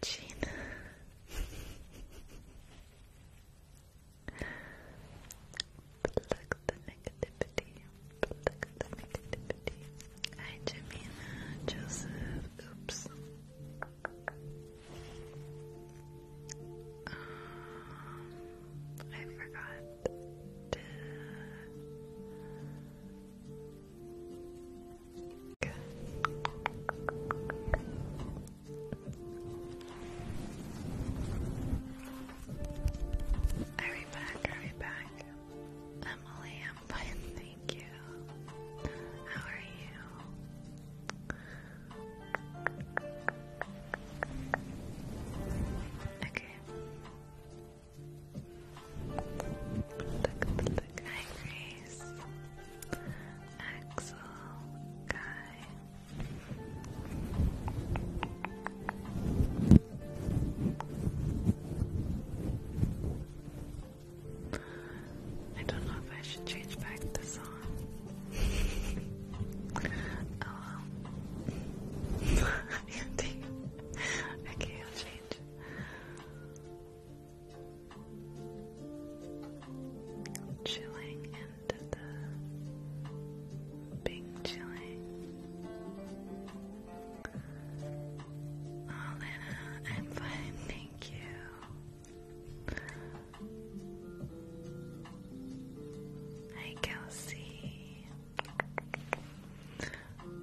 Gina. Plug the negativity. Plug the negativity. Hi, Jamina. Joseph. Oops. Um, I forgot I'll back, I'll back. Emily, I'm fine, thank you. How are you? Okay. Look look Hi Grace Axel I don't know if I should change back the song. oh okay, I'll change. Chilling into the big chilling. Oh, I'm fine, thank you. Hi, Kelsey.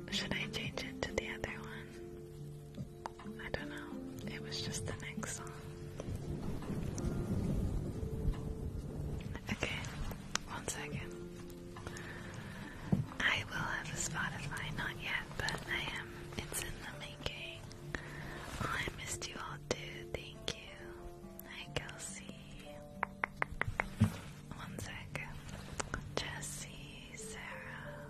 Should I change it to the other one? I don't know. It was just the next song. Okay, one second. I will have a Spotify, not yet, but I am. It's in the making. Oh, I missed you all too. Thank you. Hi, Kelsey. One Jesse, Sarah.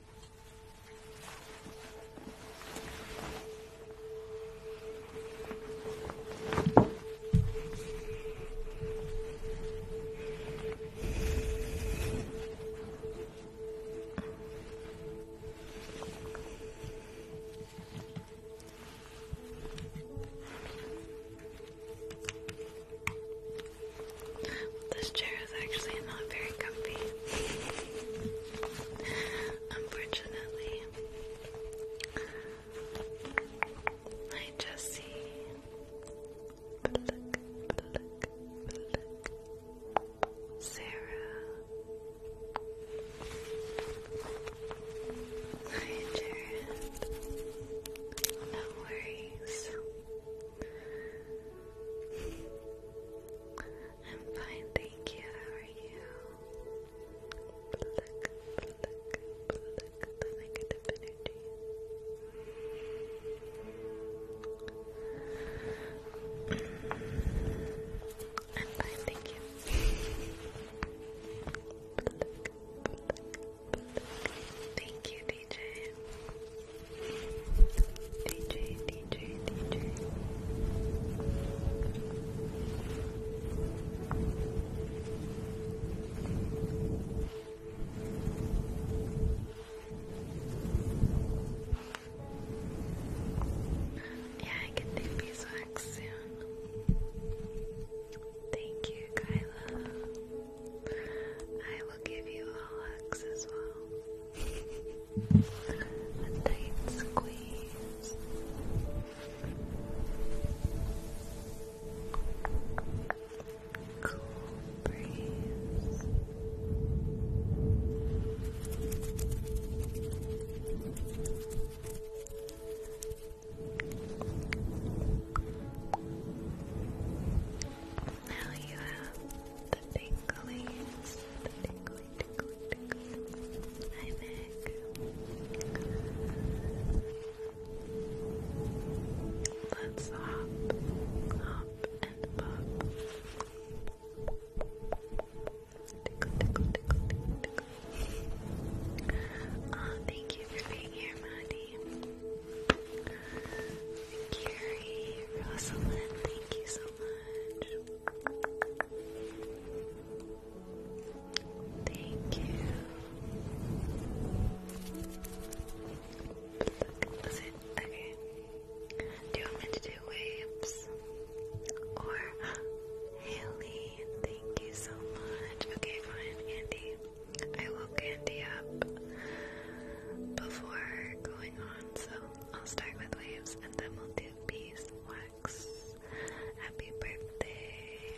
This chair is actually not very comfy. Unfortunately, I just see pluck, pluck, Sarah. Hi, Jared. No worries. I'm fine, thank you. How are you? negative energy. I'm fine, thank you. Thank you, DJ. DJ, yeah, I can take these wax soon. Thank you, Kyla. I will give you all hugs as well. A tight squeeze. Cool breeze. Now you have the tingling, Hi, Meg. Let's hop, hop, and pop. Tickle, tickle, tickle, tickle, tickle. thank you for being here, Maddie. Carrie, Rosalind, thank you so much. Thank you. That's Okay. Do you want me to do waves? Or Haley, thank you so much. Okay, fine, Andy. I woke Andy up before going on, so I'll start with waves and then we'll do Peace Wax. Happy birthday,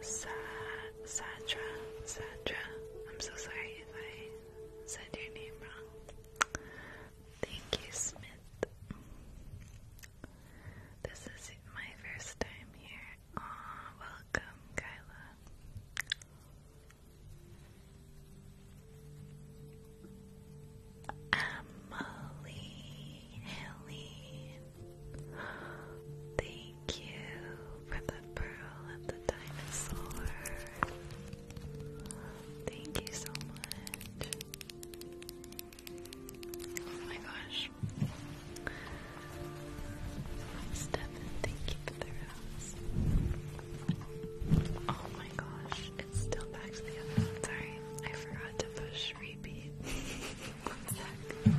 Sadra. Sadra. I'm so sorry if I said your name wrong. Thank you, Smith. This is my first time here. Aw, welcome, Kyla. Emily, Helene, thank you for the pearl of the dinosaur. Thank you so much. Oh my gosh. Stefan, thank you for the rose. Oh my gosh, still back to the other Sorry, I forgot to push repeat. one sec.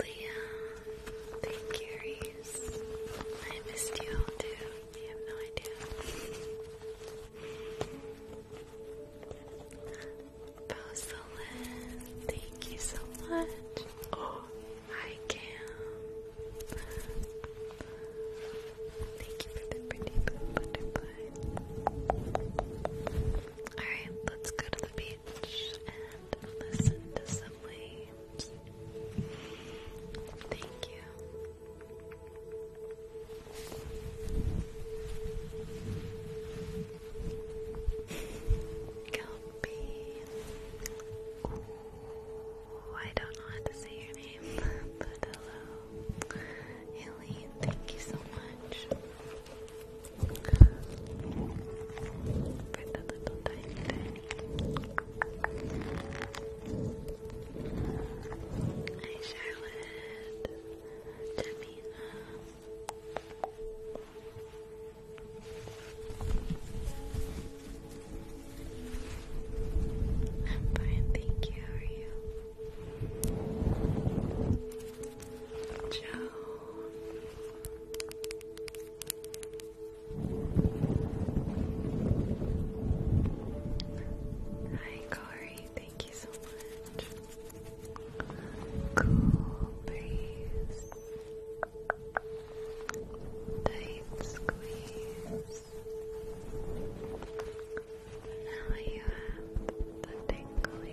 Leah, thank you, Reese. I missed you too. You have no idea. Rosalyn, thank you so much. Oh, I can. Thank you for the pretty butterfly. Alright, let's go to the beach Thank you. Kelpie. Ooh, I don't know how to say your name, but hello. Aileen, thank you so much for Charlotte, Jamina. I'm fine, thank you. How are you? Hi, Corey. Thank you so much. Cool breeze. Tight squeeze. Now you have the tingly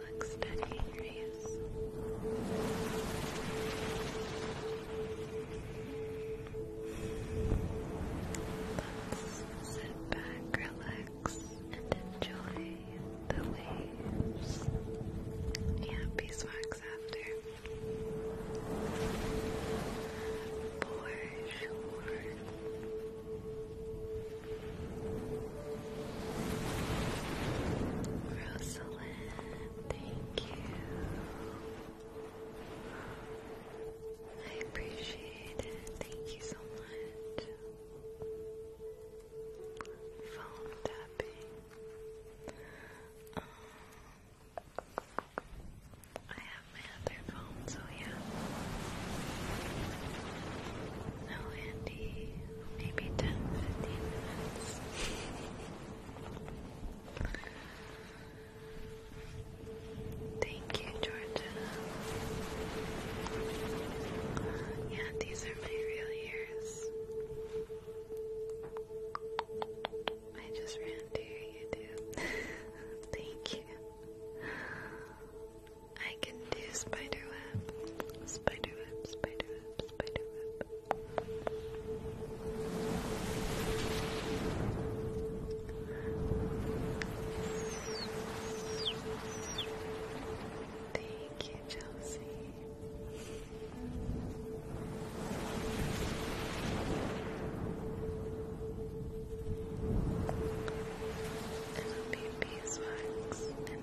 Look steady, Let's sit back, relax, and enjoy the waves. Yeah, beeswax after. For sure. Rosalind, Thank you. I appreciate it. Thank you so much. Phone tapping. Um, I have my other phone, so yeah. No, Andy maybe 10, 15 minutes. Thank you, Georgia. Yeah, these are my real ears. I just ran to you too. Thank you. I can do spiderweb. Spiderweb, spiderweb, spiderweb, Thank you, Chelsea. It'll be beeswax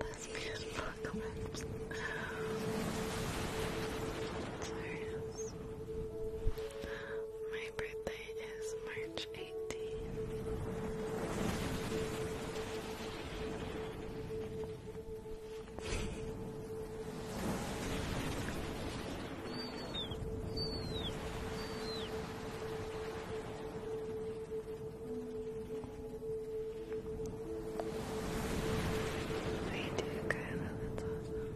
lesbian apocalypse. Serious. My birthday is March 18th. I do, Kyla, that's awesome.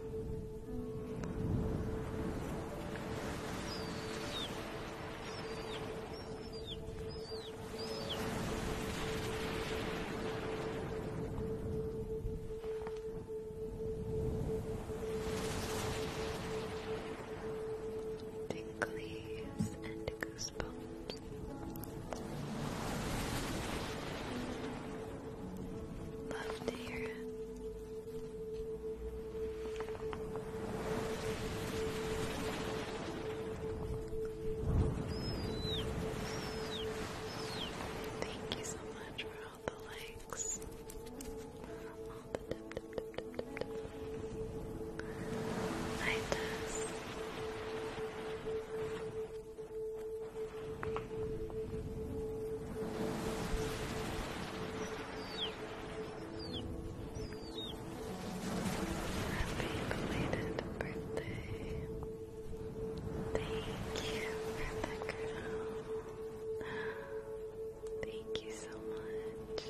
Tinklies and goose Love to hear it. Thank you so much for all the likes. Happy belated birthday. Thank you for the girl. Thank you so much.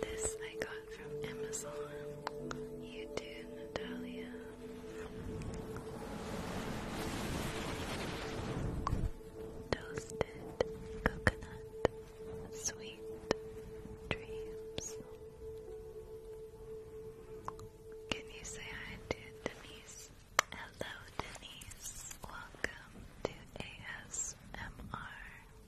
This I got from Amazon. You Natalia. Toasted coconut, sweet dreams. Can you say hi to Denise? Hello, Denise. Welcome to ASMR.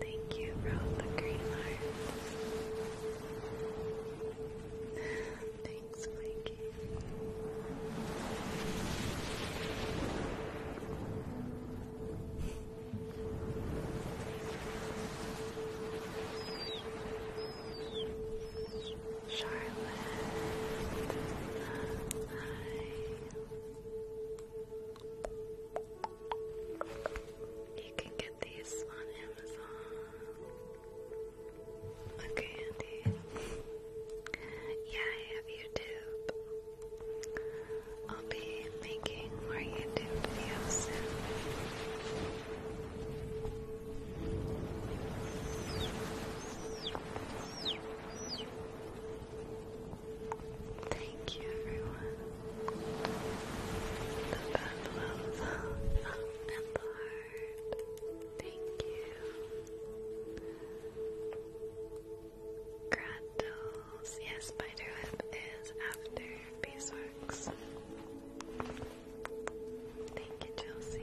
Thank you for all the green hearts. Thanks, Mikey. Charlotte. You can get these on Amazon. Okay, Andy. Yeah, I have YouTube. I'll be making more YouTube videos soon. Thank you, everyone. The buffalo thumb, the heart. Thank you. Grattles. Yes, spider is after beeswax. Thank you, Chelsea.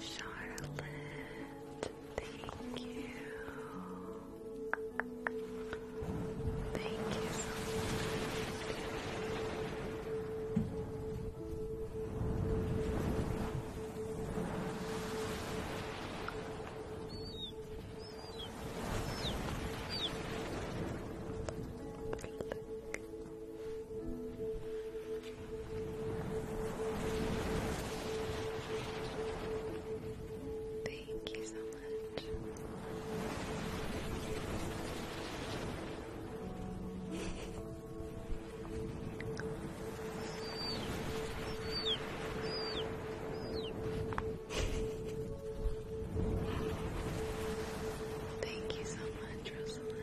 Charlotte, thank you. Thank you so much. Thank you so much. Thank you so much, Rosalind.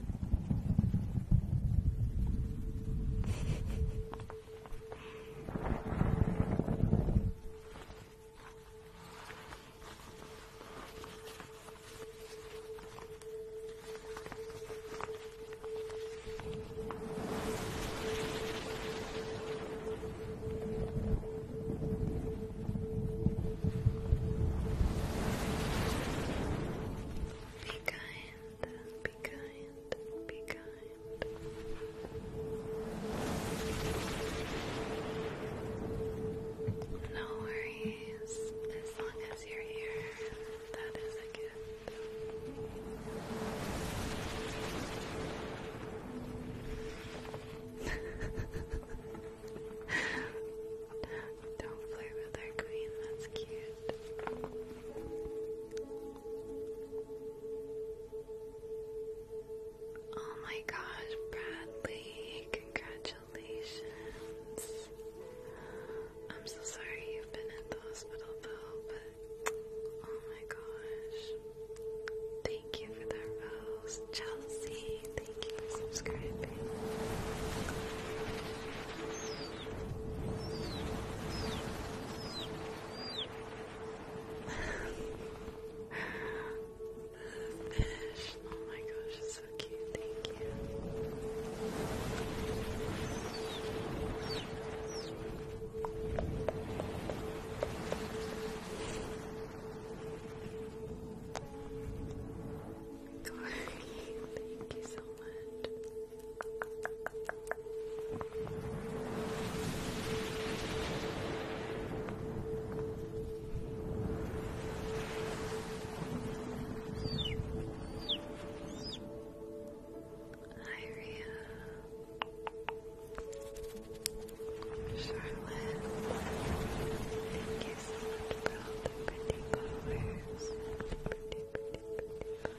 Be kind, be kind. Be kind. No worries. As long as you're here, that is a gift. Don't flirt with our queen, that's cute. Oh my gosh, Bradley, congratulations. I'm so sorry you've been at the hospital though, but oh my gosh. Thank you for the rose. Chelsea, thank you for subscribing the fish. Oh my gosh, it's so cute. Thank you. Corey, thank you so much. Charlotte, thank you so much for all the pretty colors. Pretty, pretty, pretty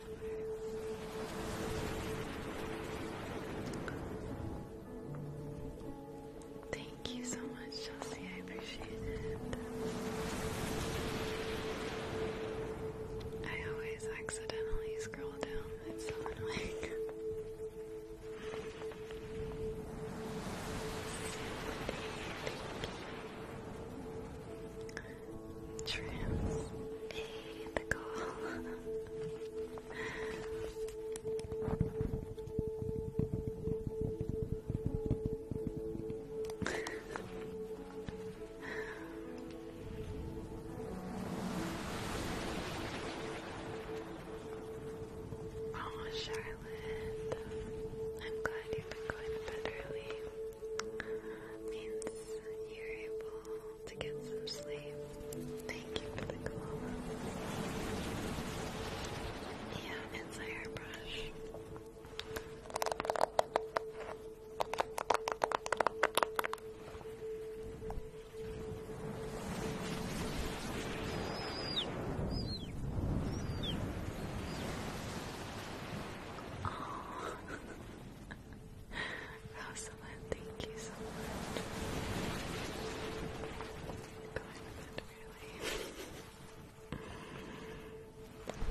Thank you so much, Chelsea. I appreciate it. I always accidentally scroll down. so annoying. Trans the call. oh, Charlotte, I'm glad you've been going to bed means you're able to get some sleep. Thank you for the koala. Yeah, it's a hairbrush. Oh. Rosalind, thank you so much.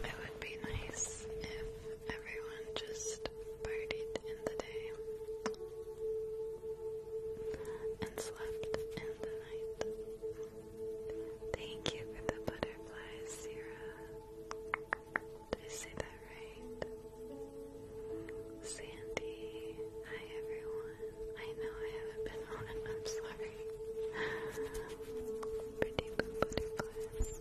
it would be nice if everyone just partied in the day and slept in the night. Thank you for the butterflies, Sarah. Did I say that right? Sandy, hi everyone. I know I haven't been on, I'm sorry. Pretty butterflies.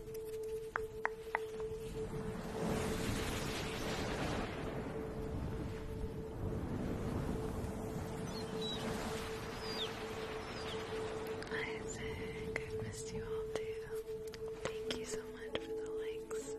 Isaac, I missed you all too. Thank you so much for the likes.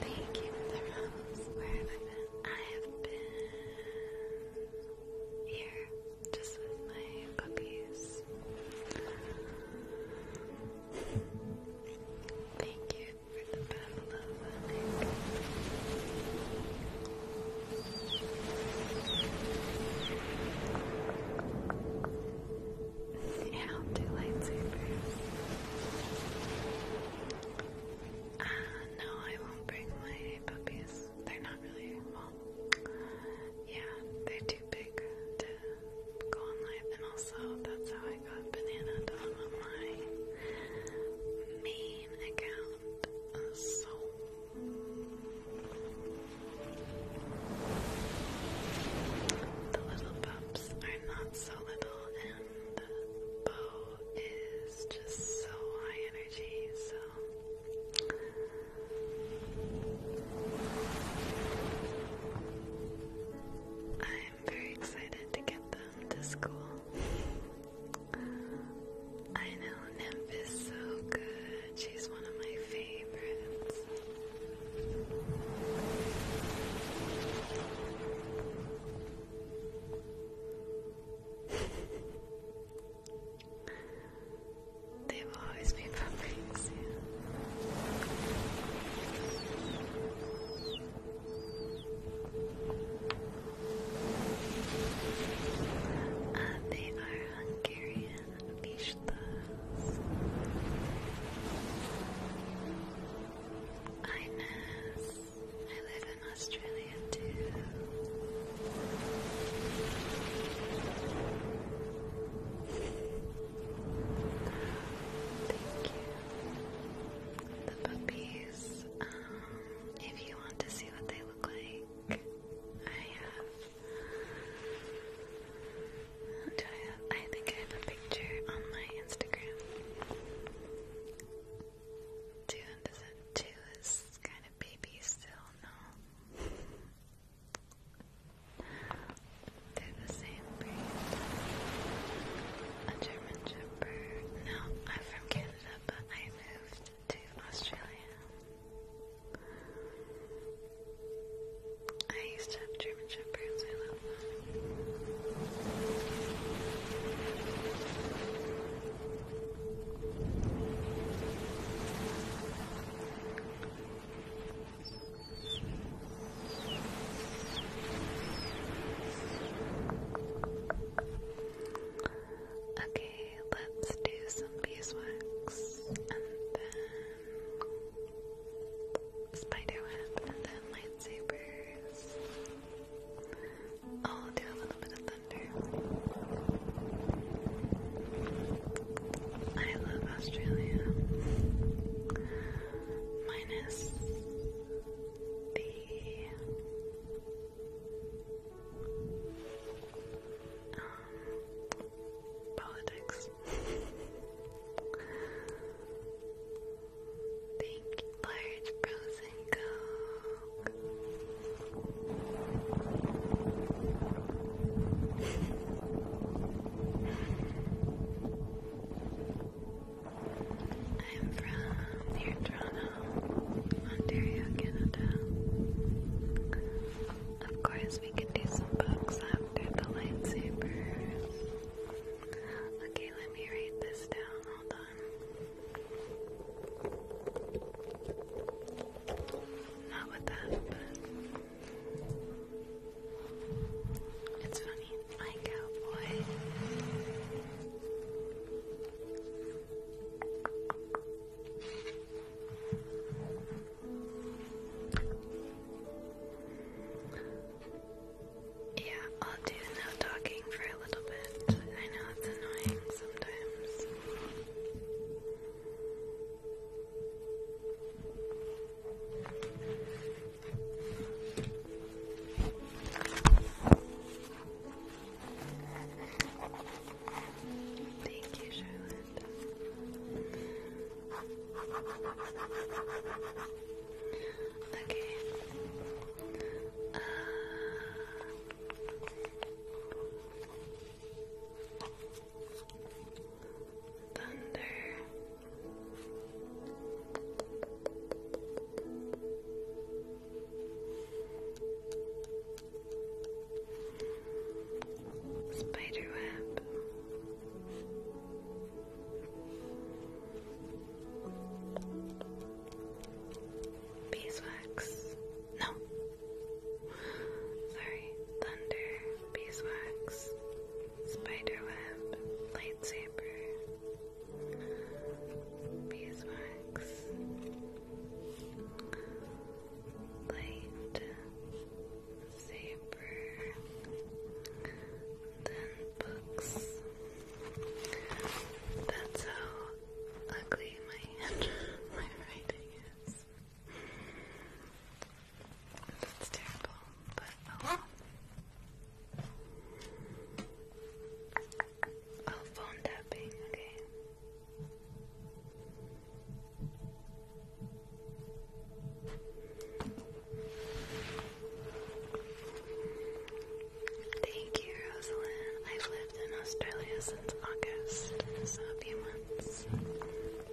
Thank you for the rose. Where have I been? I have been here just with my puppies. Thank you for the battle of Nick. i do lightsabers. Ah, no, I won't bring my puppies. They're not really, well, yeah, they're too big to go on live, and also that's how I got Banana on my main account. so. The little pups are not so little, and Bo is just so high energy, so I'm very excited to get them to school. I know Nymph so good. She's one of my favorites. They will always be bumping soon. they are Hungarian I live in Australia too. Thank you. The puppies. Um, if you want to see what they look like, I have. Do I have? I think I have a picture on my Instagram. Two and two is kind of baby still no. They're the same breed. A German Shepherd. No, I'm from Canada, but I moved to Australia. I used to have German Shepherds. Okay, let's do some beeswax and then spiderweb and then lightsabers. I'll do a little bit of thunder. I love Australia. Minus the um, politics. Thank you, large frozen I'm from near Toronto, Ontario, Canada. Of course, we can do some books after the lightsabers. Okay, let me write this down. Hold on. Not with that, it's funny. My cowboy. Yeah, I'll do no talking for a little bit. I know it's annoying sometimes. Thank you, Charlotte. Okay. Uh, thunder. Spider web. Beeswax. No, Sorry, thunder, beeswax, spiderweb, lightsaber, beeswax, light, saber, then books. That's how ugly my my writing is. That's terrible, but I'll, oh oh, phone tapping, okay? Thank you, Rosalind. I've lived in Australia since August, so a few months.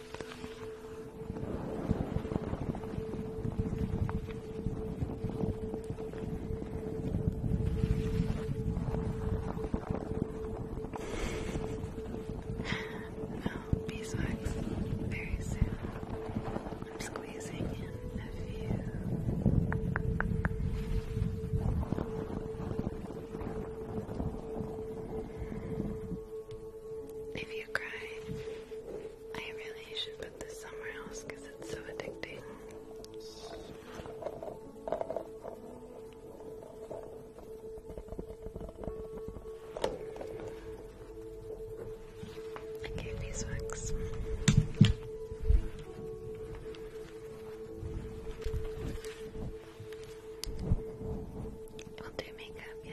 Oh, beeswax very soon. I'm squeezing in a few. If you cry, I really should put this somewhere else because it's so addicting. I gave I'll do makeup, yeah.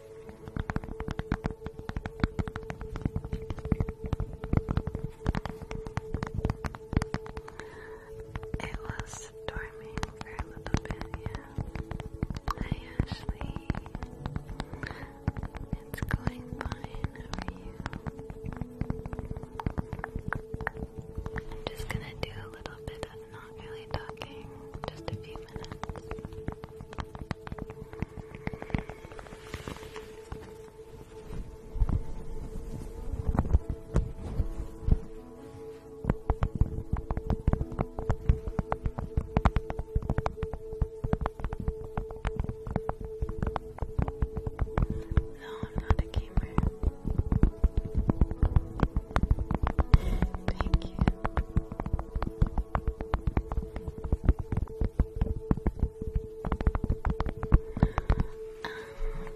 It was storming for a little bit, yeah. Hi Ashley. It's going fine over you. I'm just gonna do a little bit of not really talking, just a few minutes. No, I'm not a gamer. Thank you.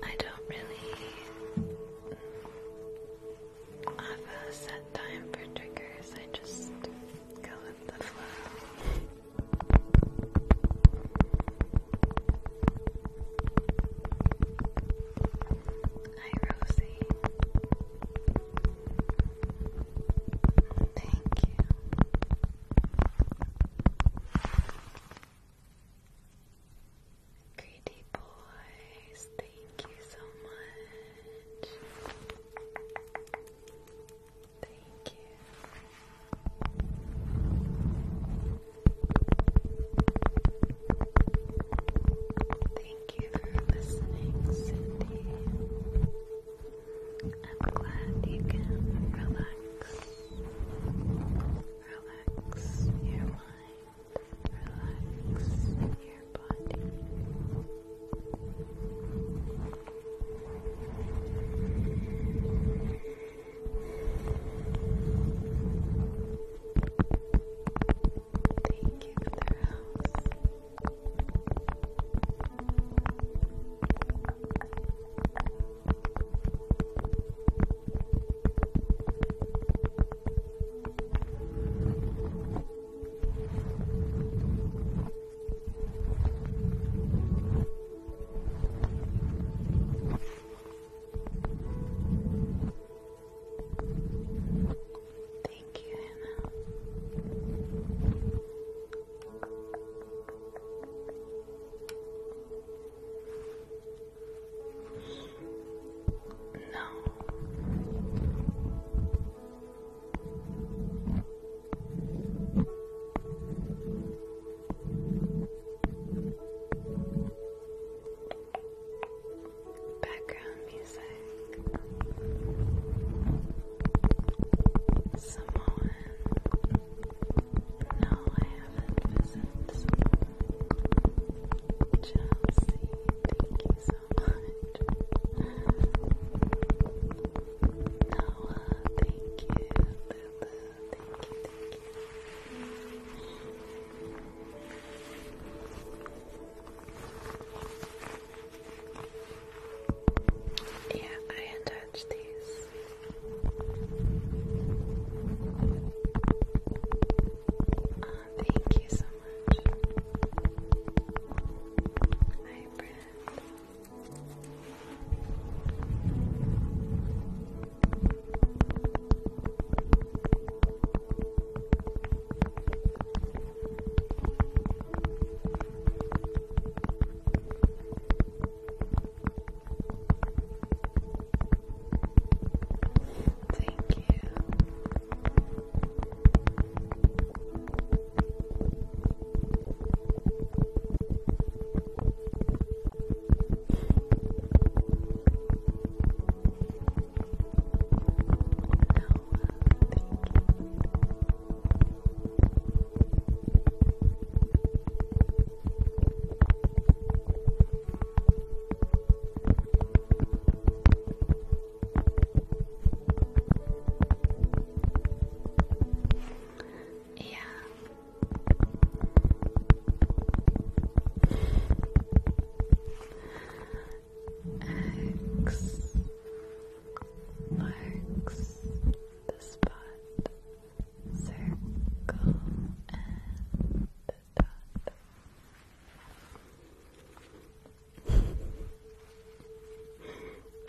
I don't really have a set time for triggers, I just go with the flow. Hi Rosie. Thank you. Greedy boys, thank you so much. Thank you. Thank you for listening, Cindy. I'm glad you can relax. Relax your mind. Relax your body. Thank you for the house. Thank you, Hannah. No. Background music. Samoan. No, I haven't visited Samoa. thank you so much. Noah, thank you. Yeah, I attached these. Uh, thank you so much. Hi, Brent. Thank you. No, thank you. Yeah. X marks the spot, circle, and dot.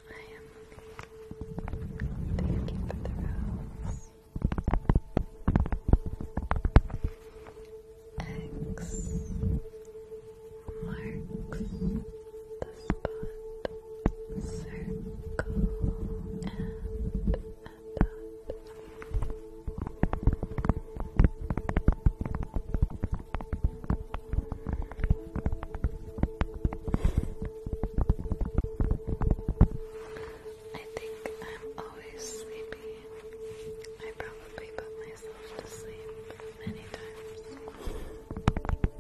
I am okay. Thank the rose. X marks the spot, circle, and a I think I'm always sleepy. I probably put myself to sleep many times.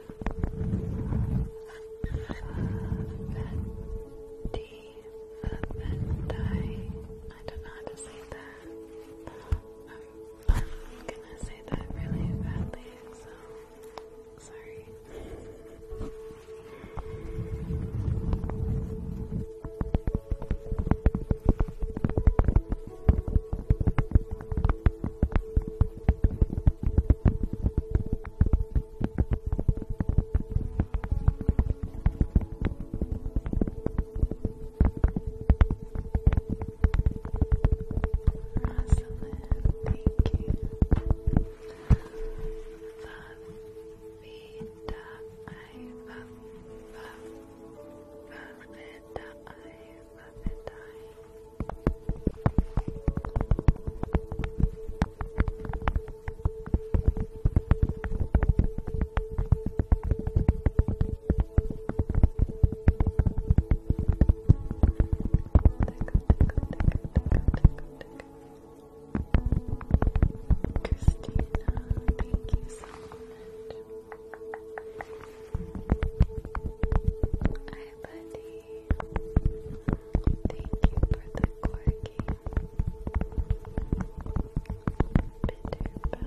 I don't know how to say that. i I'm gonna say that really badly, so sorry. Rosalind, thank you. Vavita, I, Vavita, I, love it, I. thank you so much. Hi, buddy. Thank you for the quirky bitter batter, bitter batter.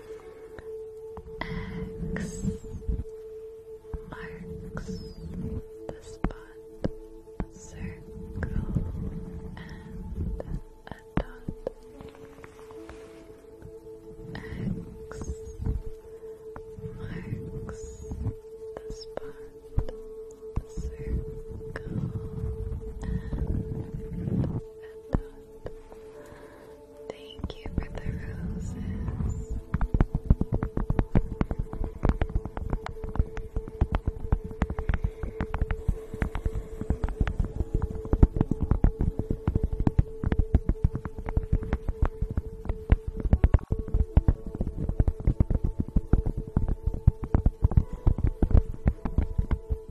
X marks the spot, a circle, and a dot. X marks the spot, a circle, and a dot. Thank you for the roses.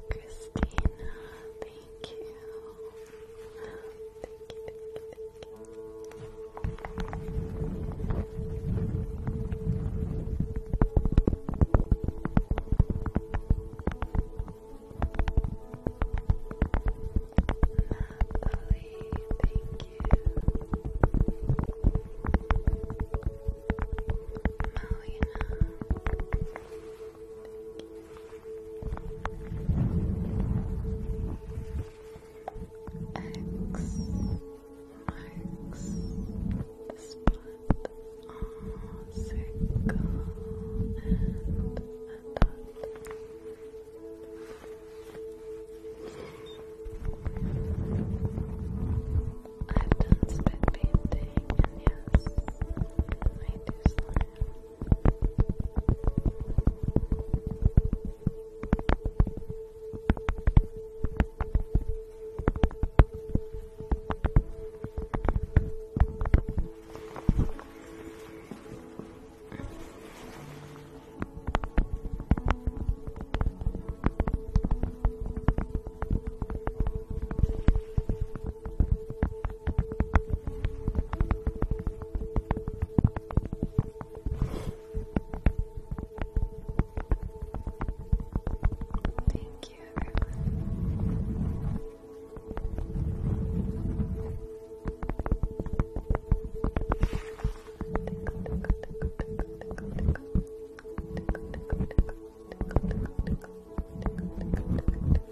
Christina, Thank you. Thank you, thank you, thank you. thank you. Malina. X marks the spot on circle and I've done spit painting, and yes, I do I Thank you, everyone.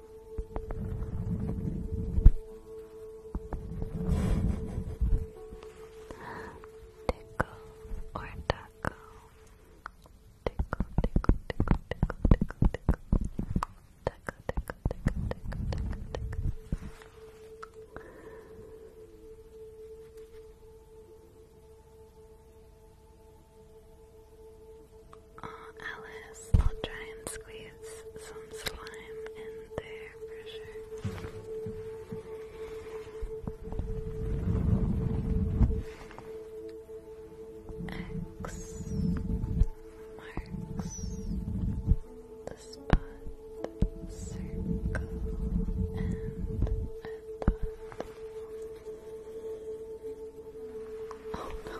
Tickle or taco. Tickle, tickle, tickle, tickle, tickle, tickle. Taco, tickle, tickle, tickle, tickle, Alice, I'll try and squeeze some slime in there for sure. X marks the spot, circle, and dot. Oh no!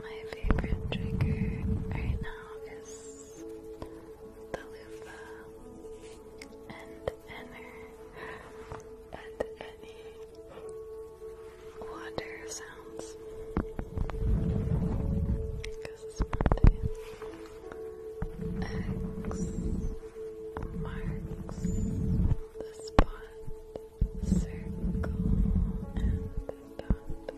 My favorite trigger right now is the loofah and enner and any water sounds because it's Monday. X marks the spot, circle and dot.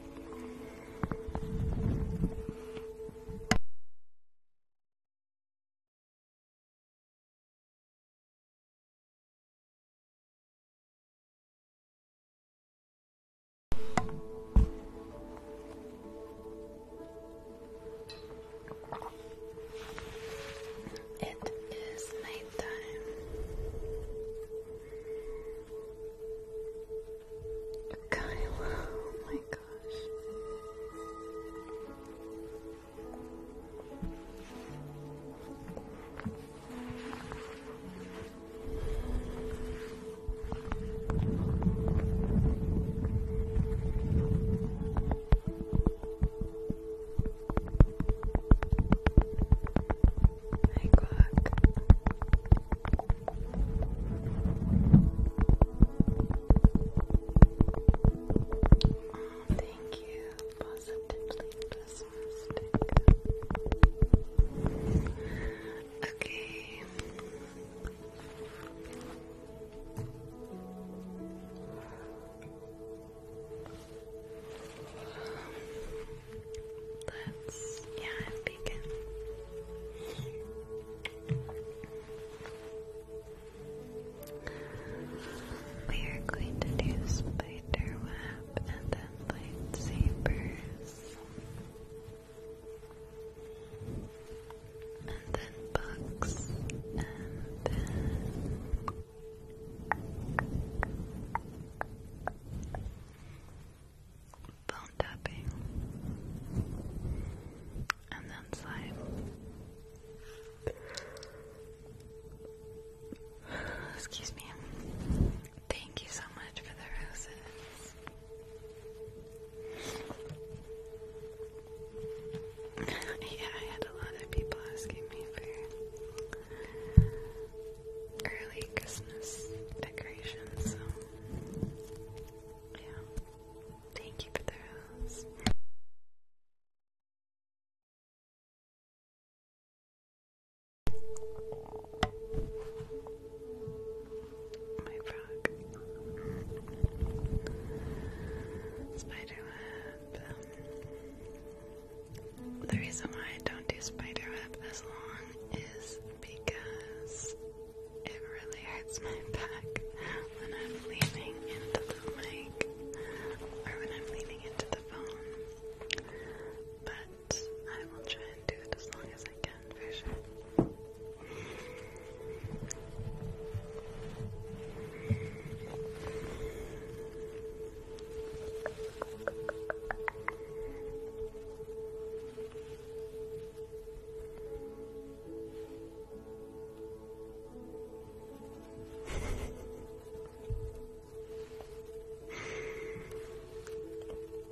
It is night time. oh my gosh. Oh, thank you. Positively pessimistic. Okay. Let's, yeah, begin. We are going to do spider web and then lightsabers and then books, and then phone tapping, and then slime. Excuse me. Thank you so much for the roses yeah, I had a lot of people asking me for early Christmas decorations, yeah. Thank you for those. My frog. Spiderweb. The reason why I don't do spiderweb as long is because it really hurts my back when I'm leaning into the mic or when I'm leaning into the phone. But I will try and do it as long as I can can for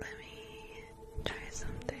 Let me try something.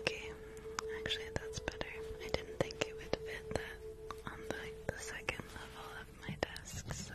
Okay, actually that's better. I didn't think it would fit on the, second level of my desk, so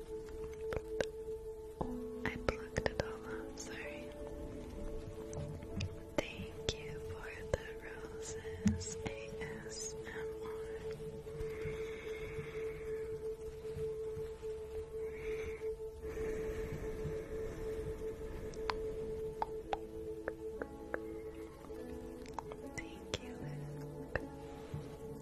I plucked it all up, sorry. Thank you for the roses ASMR. Thank you,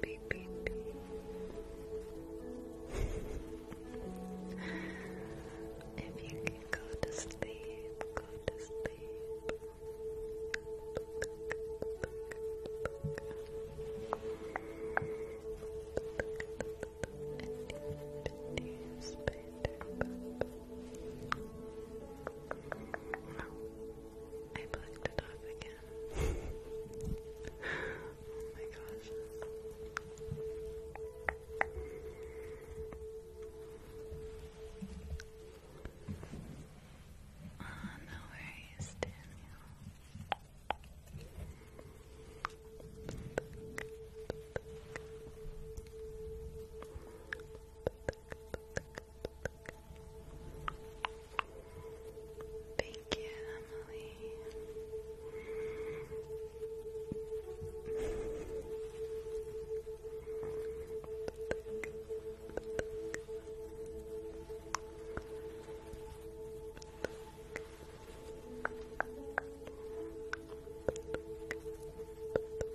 Beep, if you can go to sleep, go to sleep. I plugged it off again. oh my gosh. Oh, no worries, Daniel. Thank you, Emily.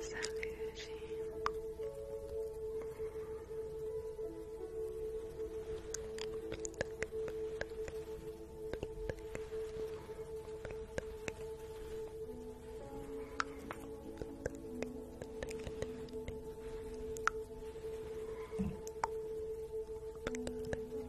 Salut Eugénie. Thank you.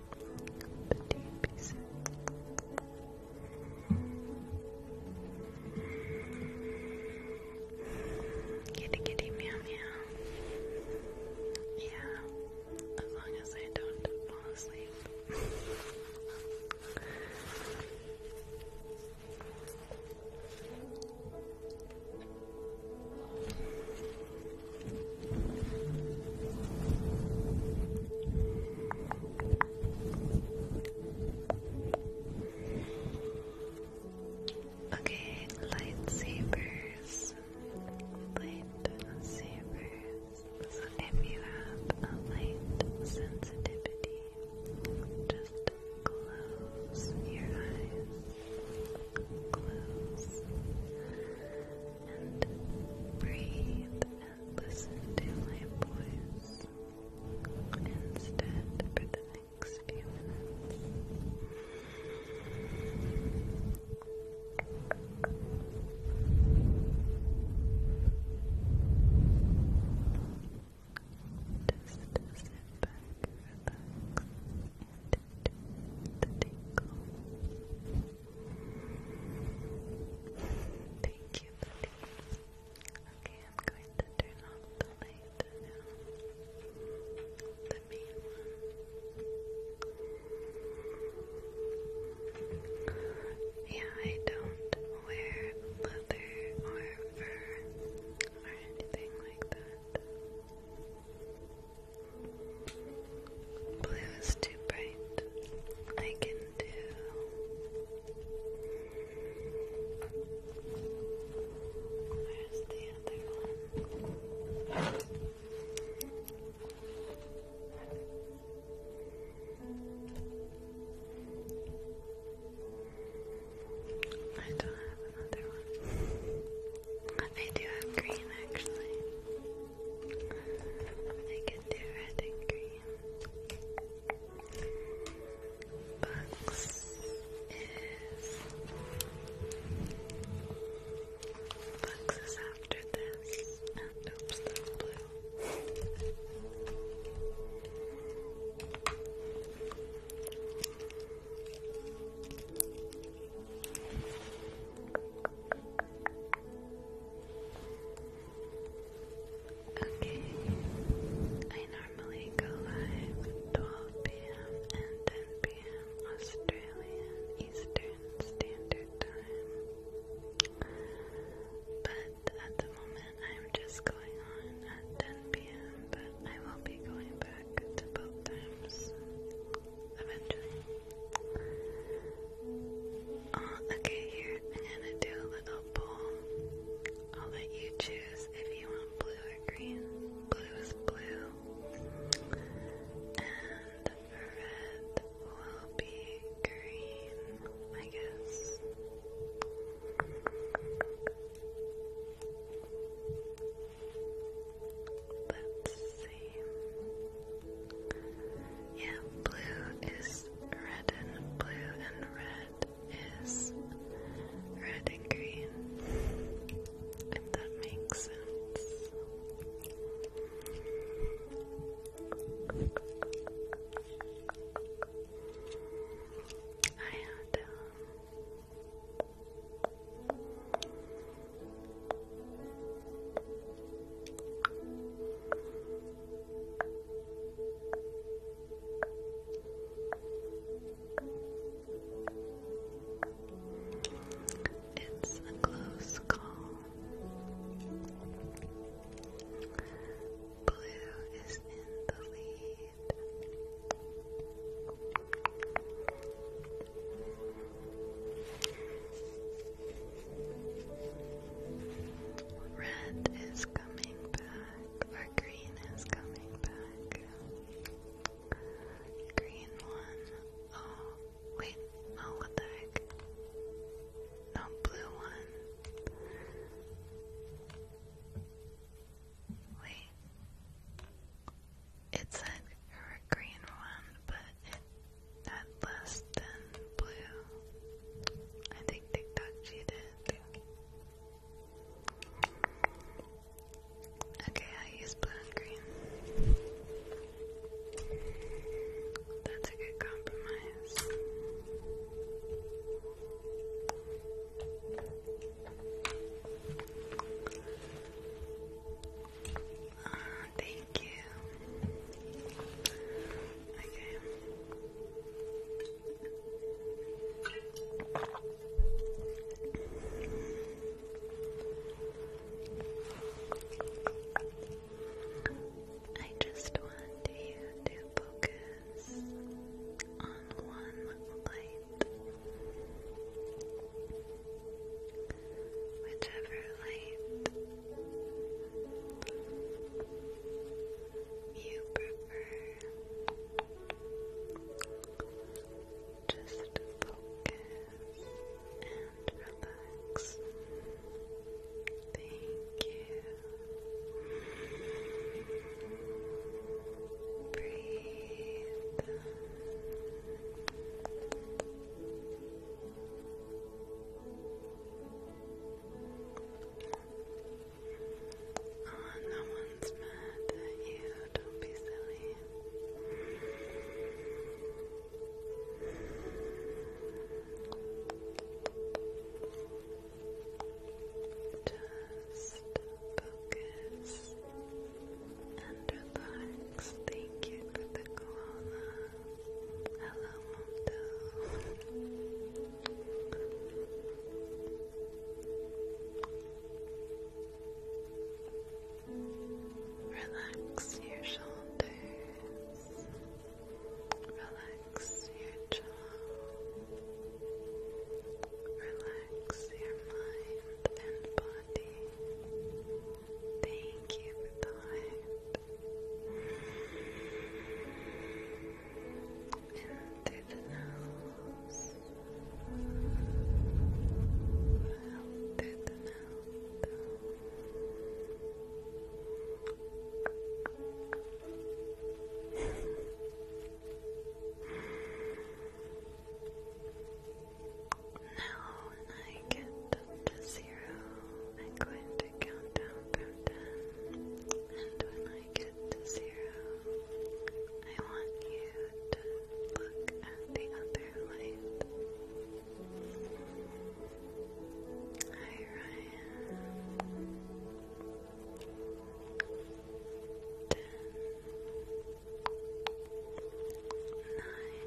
Petite pieces. Kitty kitty Yeah, as long as I don't fall asleep. Okay, lightsabers. Lightsabers. So if you have light sensitivity, just close your eyes. Close. And breathe listen to my voice instead for the next few minutes. Just sit back, relax, and do the tinkle. Thank you, buddy. Okay, I'm going to turn off the light now. The main one. Yeah, I don't wear leather or fur or anything like that. Blue is too bright. I can do. Where's the other one? I don't have another one. I do have green actually. I can do red and green. Bucks is Bucks is after this. oops, that's blue. Okay. I normally go live 12 p.m. and 10 p.m. Australian Eastern Standard Time. But at the moment I'm just going on at 10 p.m. but I will be going back to both times eventually. Oh, okay, here, I'm gonna do a little poll. I'll let you choose if you want blue or green. Blue is blue. And red will be green, I guess. Let's see. Yeah, blue is red and blue and red is red and green. If that makes sense. I have it's a close call. Blue is in the lead. Red is coming back, or green is coming back. Green one. Oh, wait, no, what the heck? No, blue one. Wait. It said green one, but at less than blue. I think TikTok cheated. Okay, I use blue green. That's a good compromise. Oh, thank you. Okay. I just want you to focus on one light. Whichever light you prefer just focus and relax. Thank you. Breathe no one's mad at you. Don't be silly. Just focus and Thank you for the koala. Hello, Mondo. Relax your shoulders. Relax your jaw. Relax your mind and body. Thank you for in through the nose. through the mouth. Now I get to see zero, I'm going to count down from ten. And when I get to zero, I want you to look at the other light. Hi, Ryan. Ten. Nine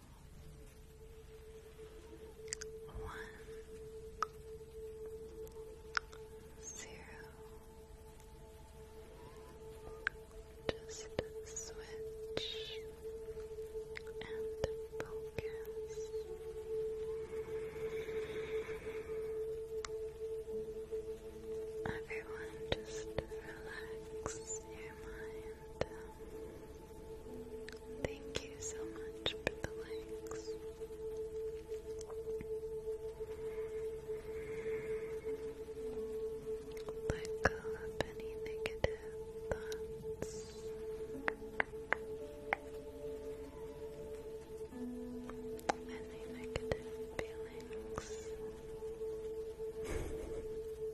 one zero. Just switch and focus. Everyone, just relax your mind. Thank you so much for the likes. Let go of any negative thoughts. Any negative feelings.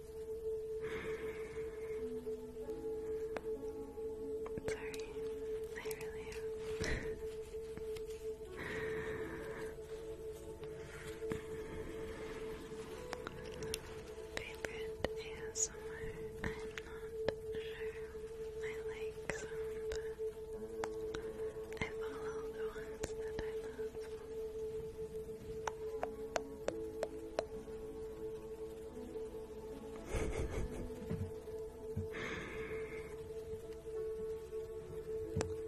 Sorry, I really am. Favorite ASMR? I'm not sure. I like some, but I follow the ones that I love.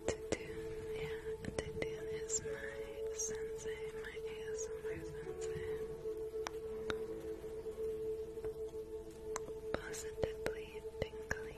Tatoon, yeah, Tatoon is my sensei, my ASMR sensei. Positively tingly.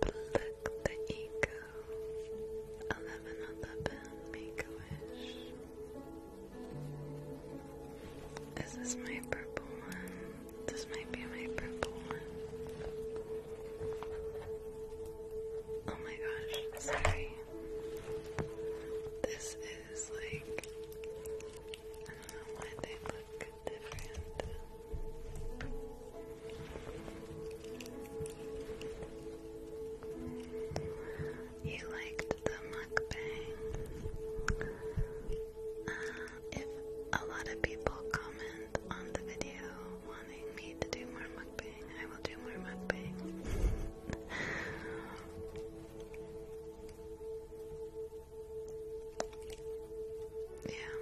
Pluck the ego. Eleven eleven, make a wish. Is this my purple one? This might be my purple one. Oh my gosh, sorry. This is like, I don't know why they look different. You liked the mukbang. Uh, if a lot of people comment on the video wanting me to do more mukbang, I will do more mukbang. yeah.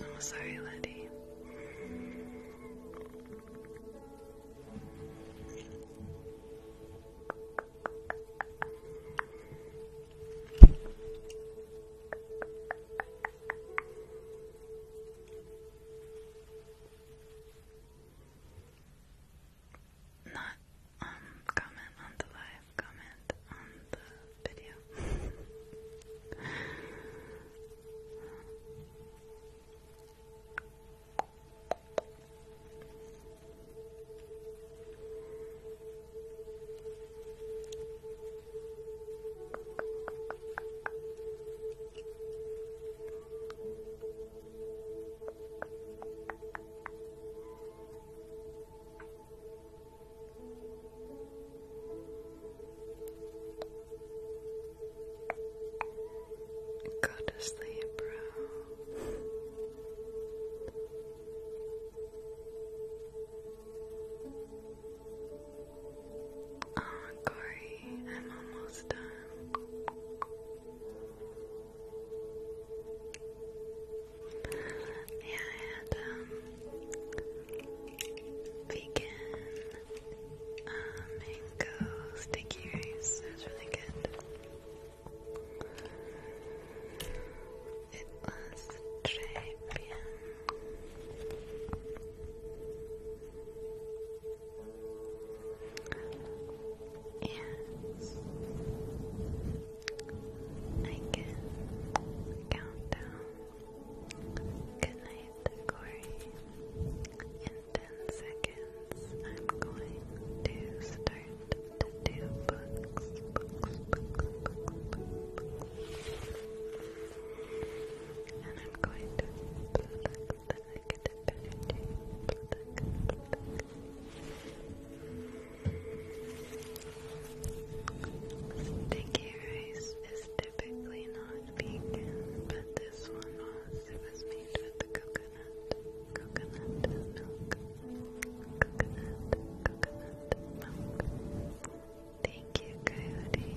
I'm oh, sorry, Letty not um comment on the live, comment on the video. Go to sleep, bro. Oh, Corey, I'm almost done. Yeah, I um, vegan uh, mango sticky rice. It was really good. It was très bien. I can count down. Good night, Corey. In 10 seconds, I'm going to start to do books, books, books, books, books. And I'm going to pluck the negative energy. Pluck, Sticky rice is typically not vegan, but this one was. It made with coconut, coconut milk, coconut, coconut milk. Thank you, Coyote.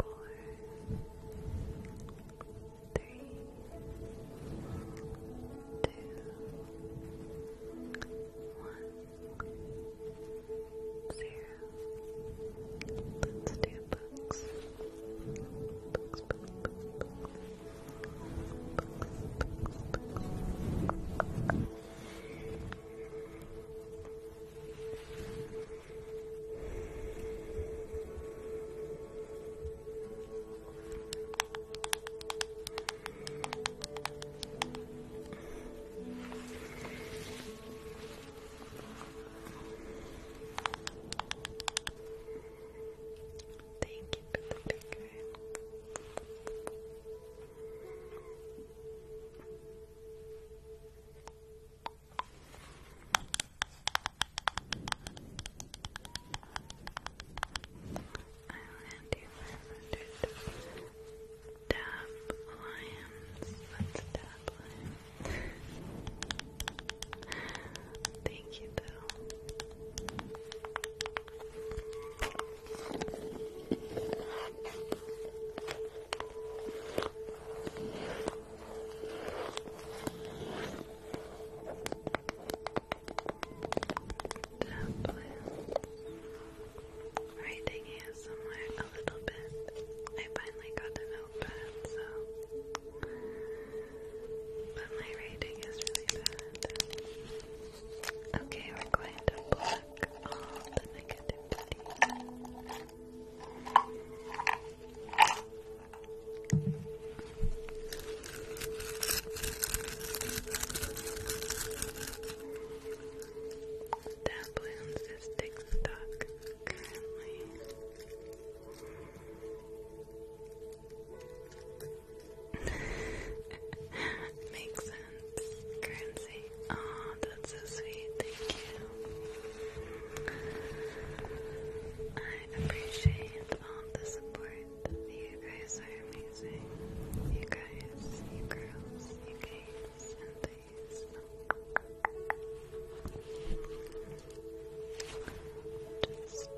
four, three, two, one, zero. Let's do books. Thank you for the finger. Island you Tap lions. Let's tap lions. Thank you though. Writing here somewhere a little bit. I finally got a notepad, so but my writing is really bad. Okay, we're going to block all the negativity. Dablin's is TikTok currently. Makes sense. Oh, that's so sweet. Thank you. I appreciate all the support. You guys are amazing. You guys, you girls, you gays, and these. Just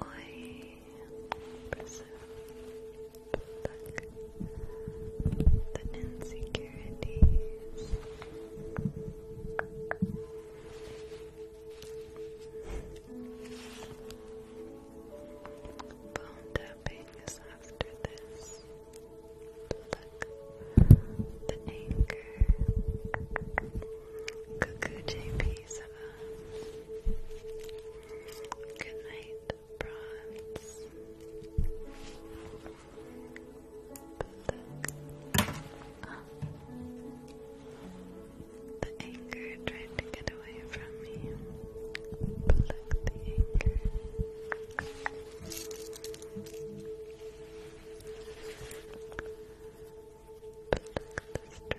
Oi, preserve the insecurities. Bone tapping is after this. the anchor. Cuckoo JP Seven. Good night, bronze. The, anger tried to get away from me. Pluck the anger. Pluck the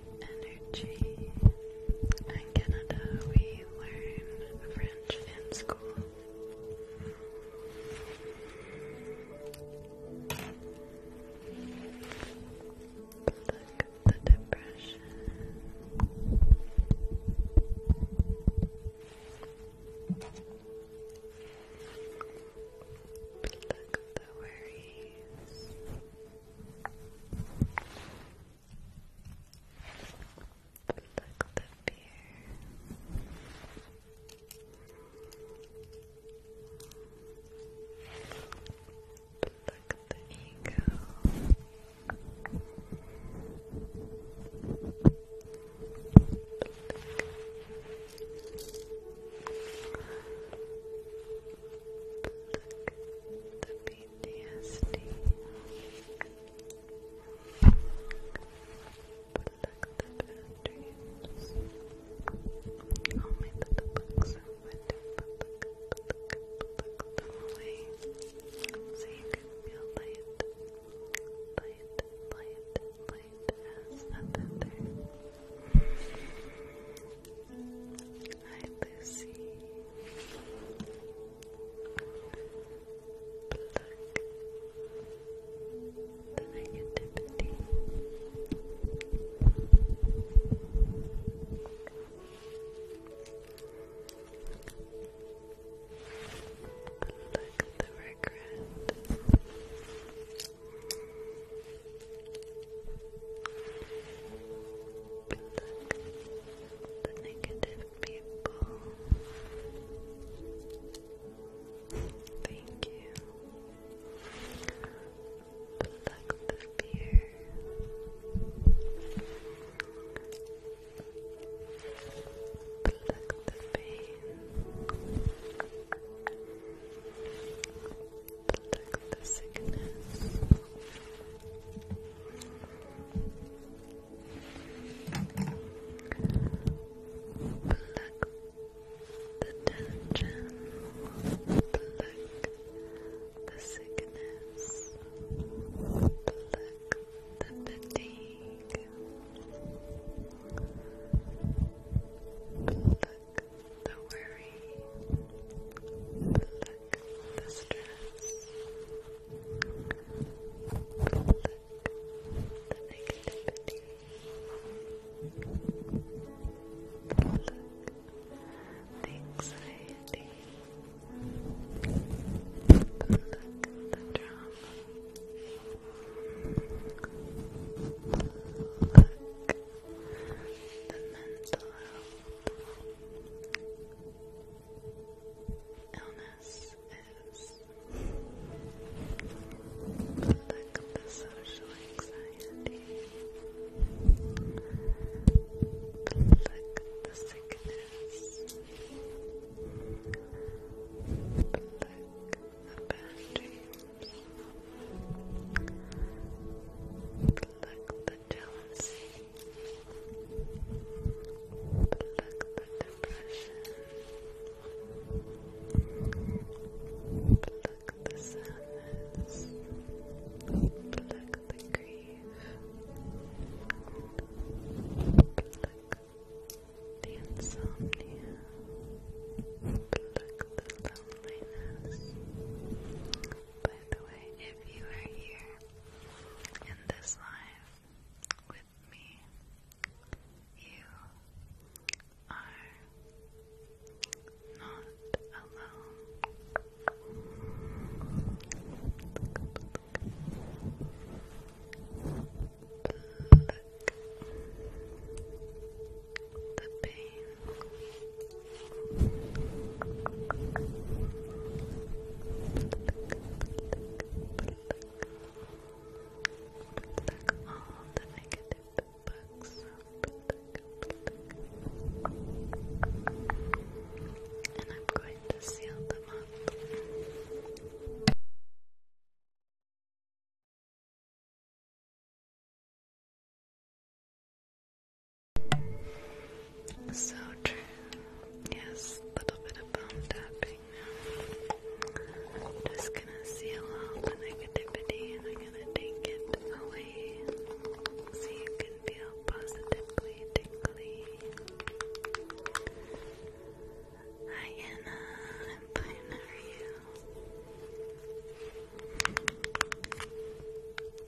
energy. In Canada, we learn French in school. Look at the depression. Look at the worries. Look the fear. Look the ego. Look. the beat DSD. Pluck the bad dreams. Only that the books are wet to pluck, pluck, pluck them away. So you can feel light, light, light, light as a Hi, Lucy. Pluck the negativity. Pluck the regret. Pluck the negative people. Thank you. Pluck the fear. Pluck the pain. Pluck the sickness. Pluck the tension, pluck the sickness, pluck the fatigue, pluck the worry, Pluck the stress. Pluck the negativity. Pluck the anxiety. Pluck the drama. Pluck the mental health illness is. look the social anxiety. look the sickness. look the bad dreams. look the jealousy. Pluck the depression. Pluck the sadness. Pluck the grief. Pluck the insomnia. Pluck the loneliness. By the way, if you are here in this life with me. You are not alone. Look. The pain Pluck all the negative bugs. And I'm going to seal them up. So true. Yes, a little bit of bone tapping now. I'm just gonna seal all the negativity and I'm gonna take it away so you can feel positively tingly. Hi Anna, how are you?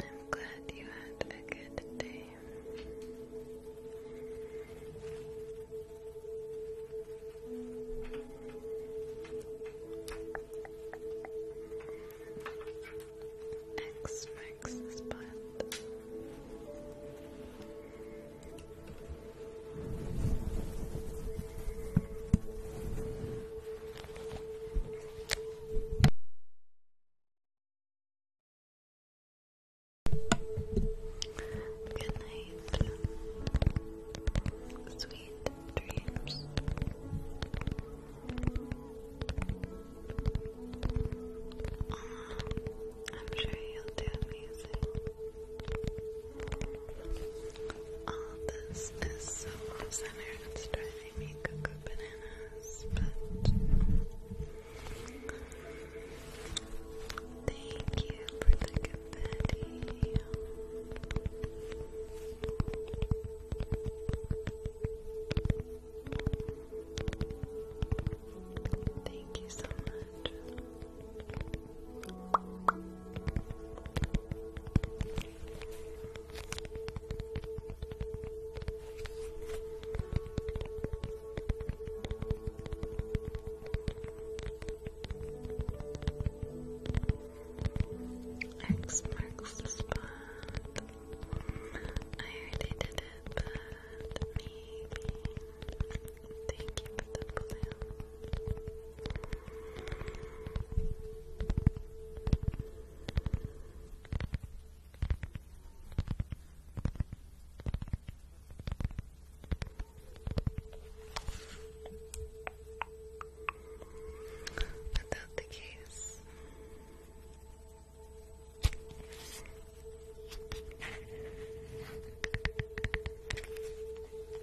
I'm glad you had a good day. X marks spot. Good night. Sweet dreams. Um, I'm sure you'll do amazing. All oh, this is so centered it's driving me cuckoo bananas, but thank you for the confetti. Thank you so much. X marks the spot. I already did it, but maybe. Thank you for the balloon. Without the case.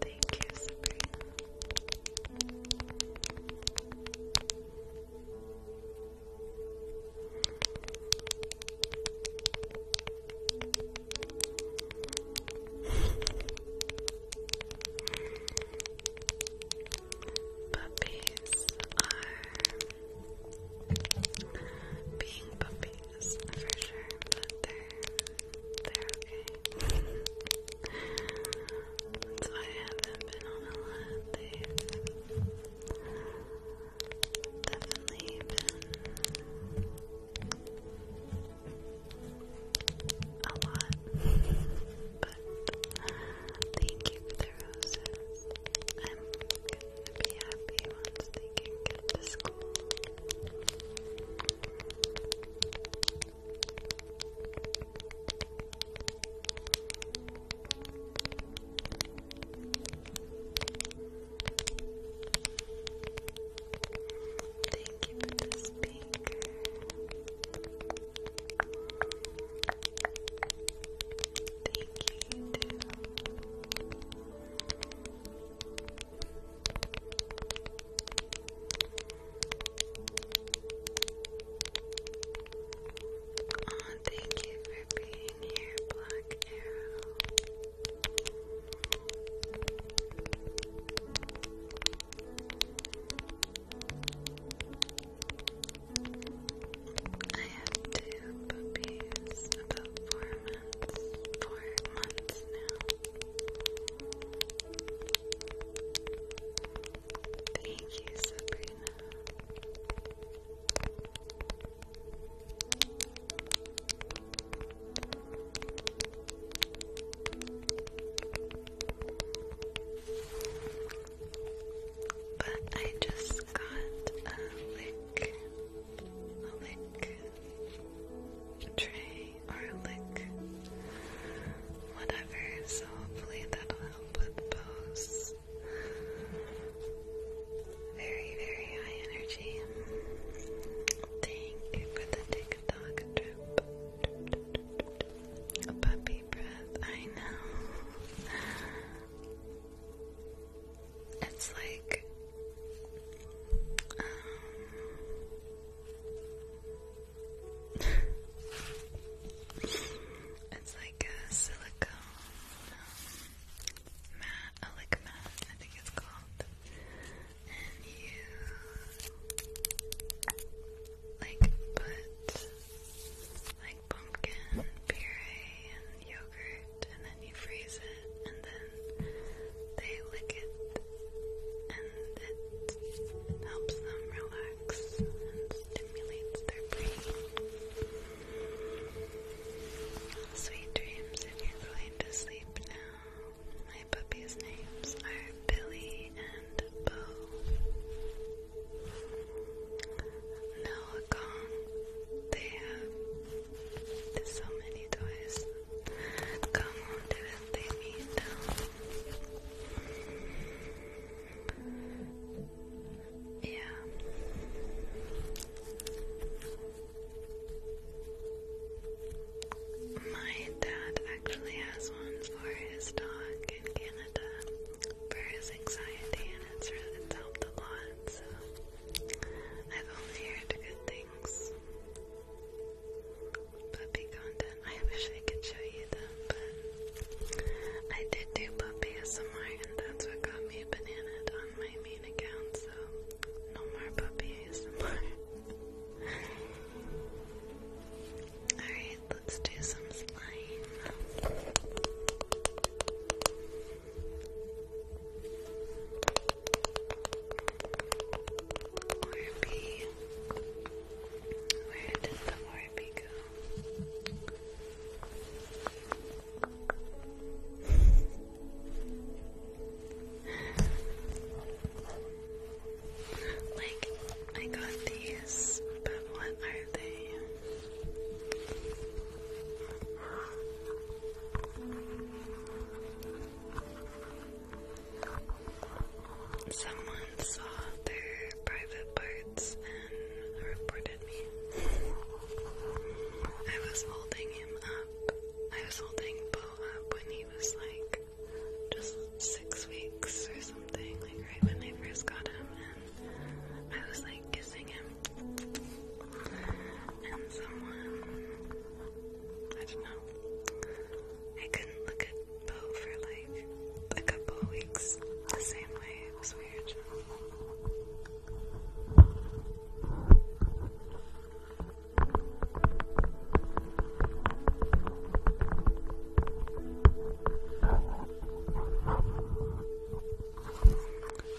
Thank you, Sabrina. Puppies are being puppies for sure, but they're they're I haven't been on a lot Definitely been a lot. but thank you for the roses. I'm gonna be happy once they get to school. Thank you for the speaker. Thank you, too. Oh, thank you for being here, Black Arrow. I have two puppies, about four months, four months now. Thank you, Sabrina. But I just got a lick, a lick tray garlic, whatever. So hopefully that'll help with pose. Very, very high energy. Thank you the TikTok drip. A puppy breath, I know. It's like, um, it's like a silicone mat, a lick mat, I think it's called. And you like put like pumpkin puree and yogurt, and then you freeze it, and then they lick it and it helps them relax and stimulates their brain. Sweet dreams if you're going to sleep now. My puppies' names are Billy and Bo. Now, Kong, they have so many toys. Como te repito Yeah. My dad actually has one for his dog in Canada for his anxiety, and it's, really, helped a lot. So I've only heard good things. Puppy content. I wish I could show you them, but I did do puppy ASMR and that's what got me bananaed on my main account, so no more puppy ASMR. Alright, let's do some slime. Where did the Orby go? like, I got these, but what are they? Someone saw their private parts and reported me. I was holding him up. I was holding Bo up when he was like just six weeks or something, like right when they first got him, and I was like kissing him. And someone, I don't know, I couldn't look at for like a couple weeks the same way. It was weird.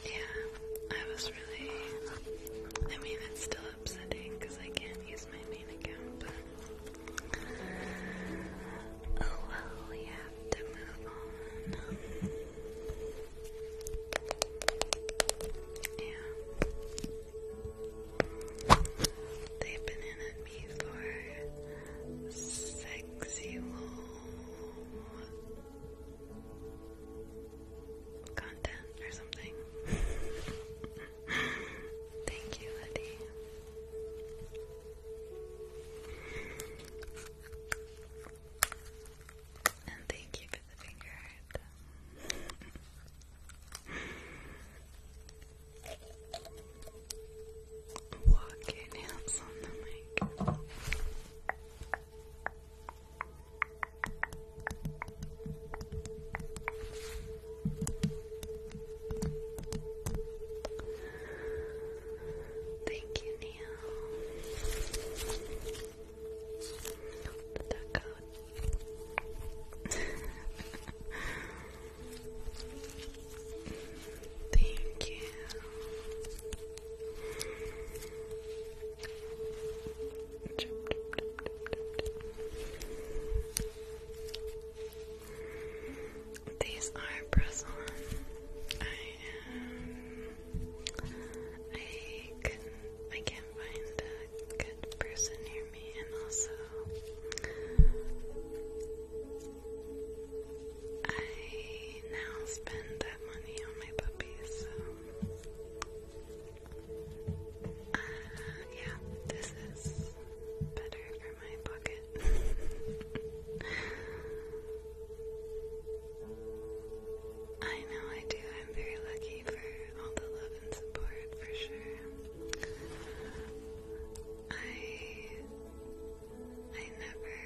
Yeah, I was really. I mean, it's still upsetting because I can't use my main account, Oh well, we have to move on. Yeah. They've been in at me for sexy content or something. Thank you, And thank you for the finger Walk your nails on the mic. Thank you, The duck Thank you. These are press I am. I can't find a good person near me, and also. I now spend that money on my puppies, uh, yeah, this is better for my pocket. I know I do. I'm very lucky for all the love and support, for sure. I I never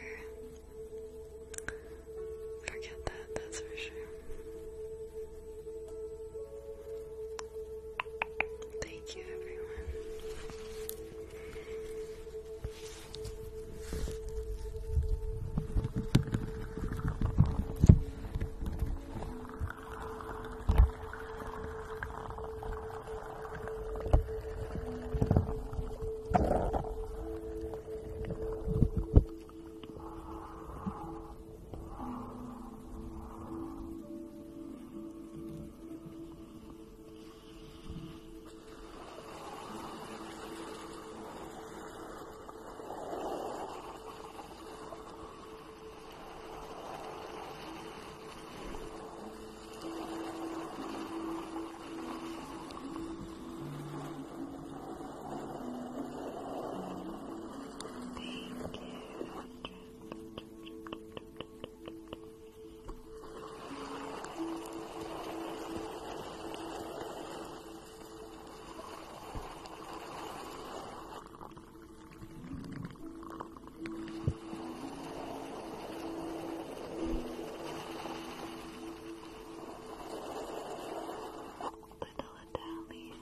forget that. That's for sure. Thank you, everyone. Thank you, Andrew. Little Italian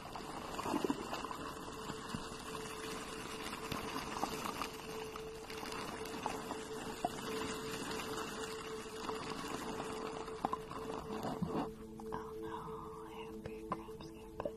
Oh no, I hope your cramps get better.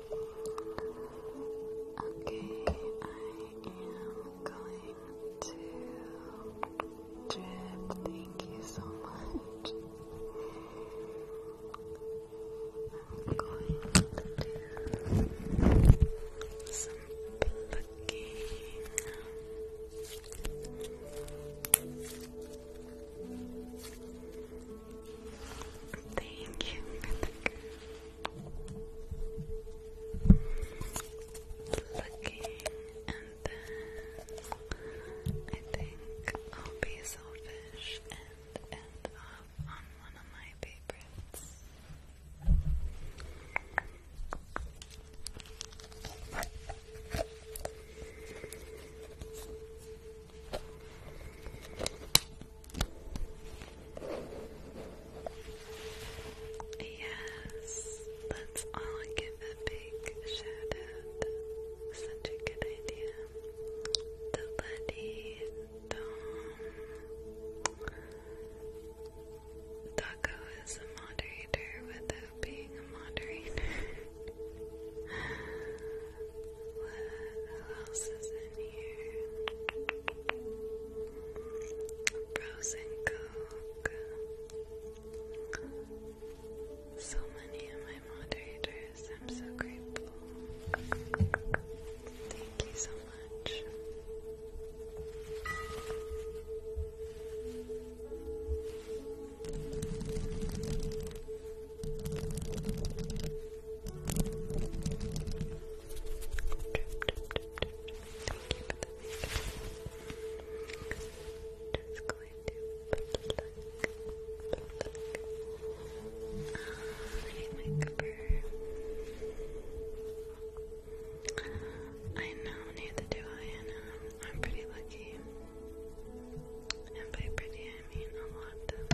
Okay, I am going to drip. Thank you so much. I'm going to do some plucking. Thank you, looking and then I think I'll be selfish and end up on one of my favorites. Yes, let's all give a big shout out. Such a good idea. The Buddy, Dom. is a moderator without being a moderator. What else is in here? Frozen Coke. So many of my moderators. I'm so grateful. Thank you so much my cover. I know, neither do I, and I'm pretty lucky. And by pretty, I mean a lot.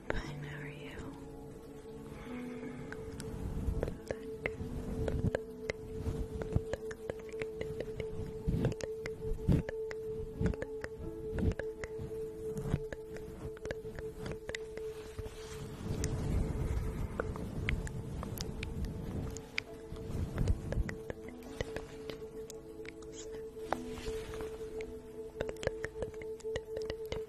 I'm you?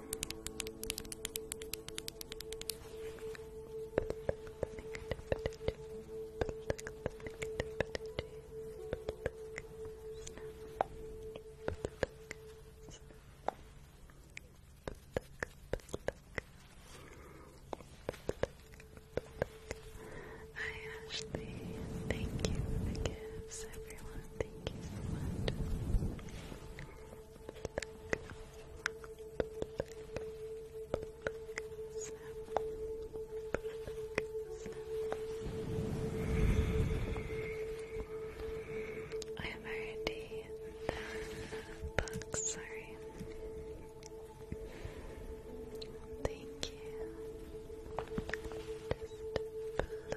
Hi Ashley, thank you for the gifts everyone. Thank you so much. I have already done the sorry. Thank you.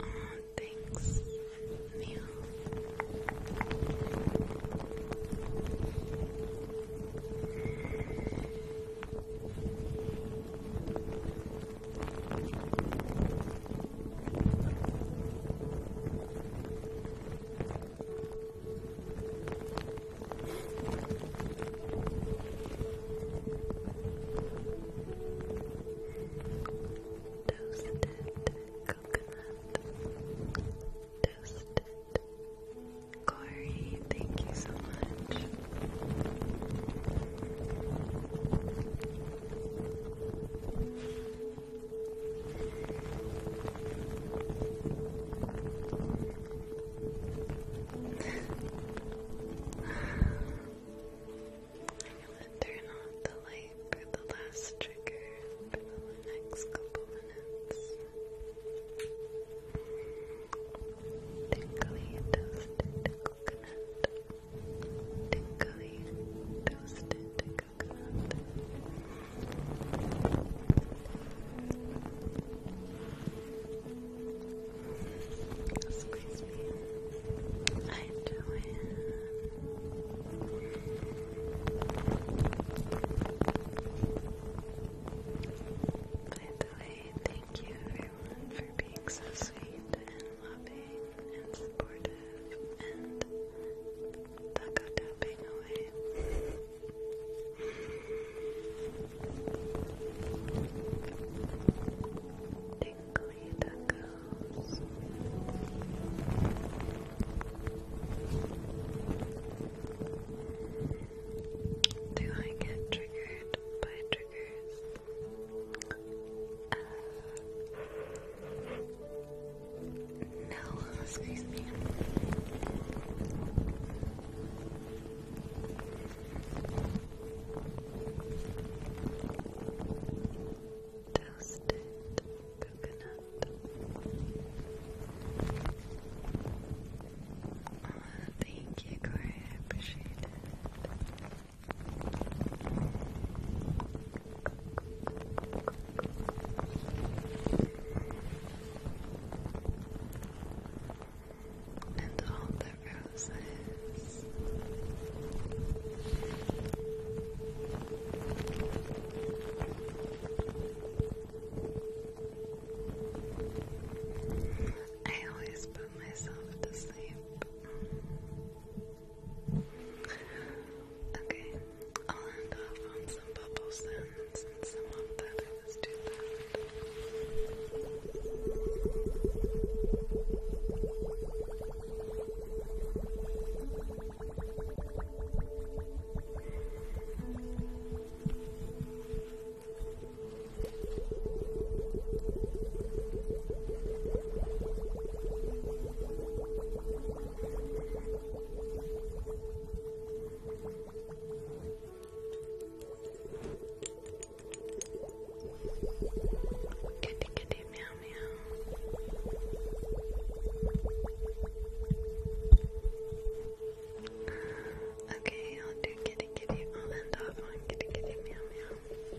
Oh, thanks, Neil. Toasted coconut. Toasted. Corey, thank you so much. I'm gonna turn off the light for the last trigger for the next couple minutes. Tinkly toasted coconut. Tinkly toasted Squeeze me. I enjoy it. By the way, thank you everyone for being so sweet and loving and supportive taco tapping away. Tinkly tacos. Do I get triggered by triggers? Uh, no, excuse me. Toasted coconut oh, Thank you, Corey, I appreciate it and all the roses. I always put myself to sleep. Okay, I'll end off on some bubble sounds and some of that I was too Thank Giddy kitty, meow, meow. Okay, I'll do kitty, kitty. I'll end off on kitty, kitty, meow, meow.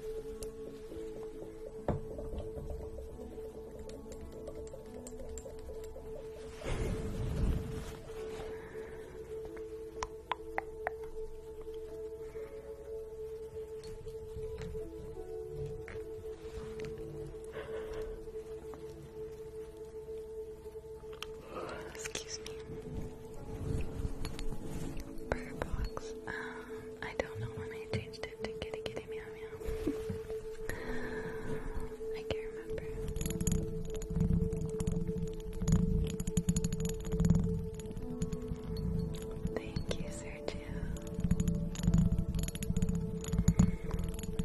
Excuse me. Burger box. Um, I don't know when I changed it to kitty I can't remember. Thank you, Sergio.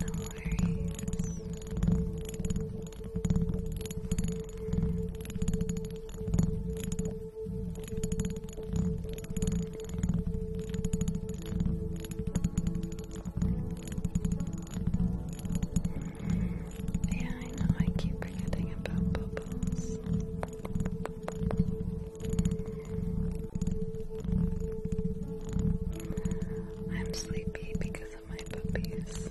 No worries. Yeah, I know, I keep forgetting about bubbles. I'm sleepy because of my puppies.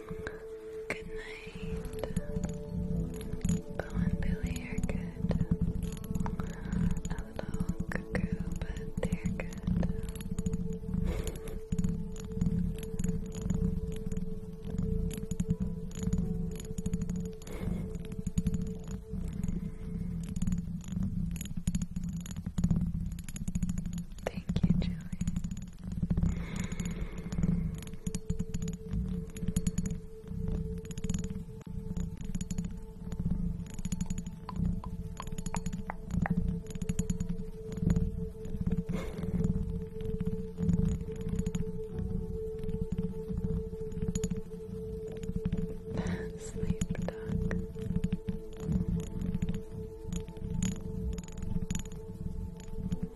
Good night. Bo and Billy are good. A little cuckoo, but they're good. Thank you, Julie. Sleep duck. Sleep duck.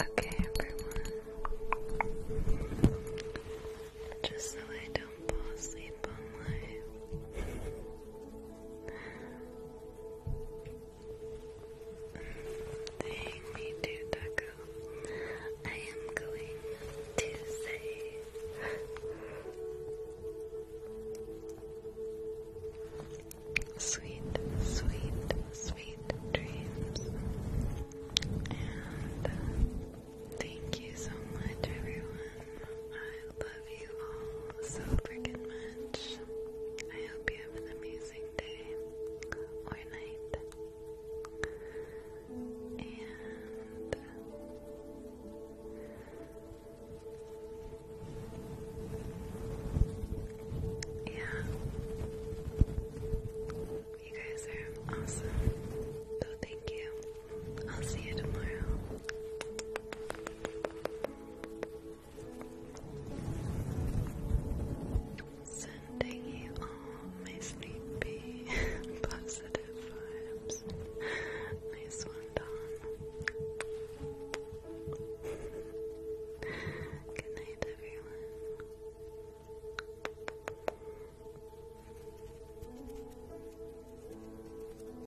Okay, everyone. Just so I don't fall asleep on my Thank me too, Taco. I am going to say sweet, sweet, sweet dreams. And uh, thank you so much, everyone. I love love you all so freaking much. I hope you have an amazing day or night. And yeah, you guys are awesome. So thank you I'll see you tomorrow. Sending you all my sleepy, positive vibes. Nice one, Don. Good night, everyone.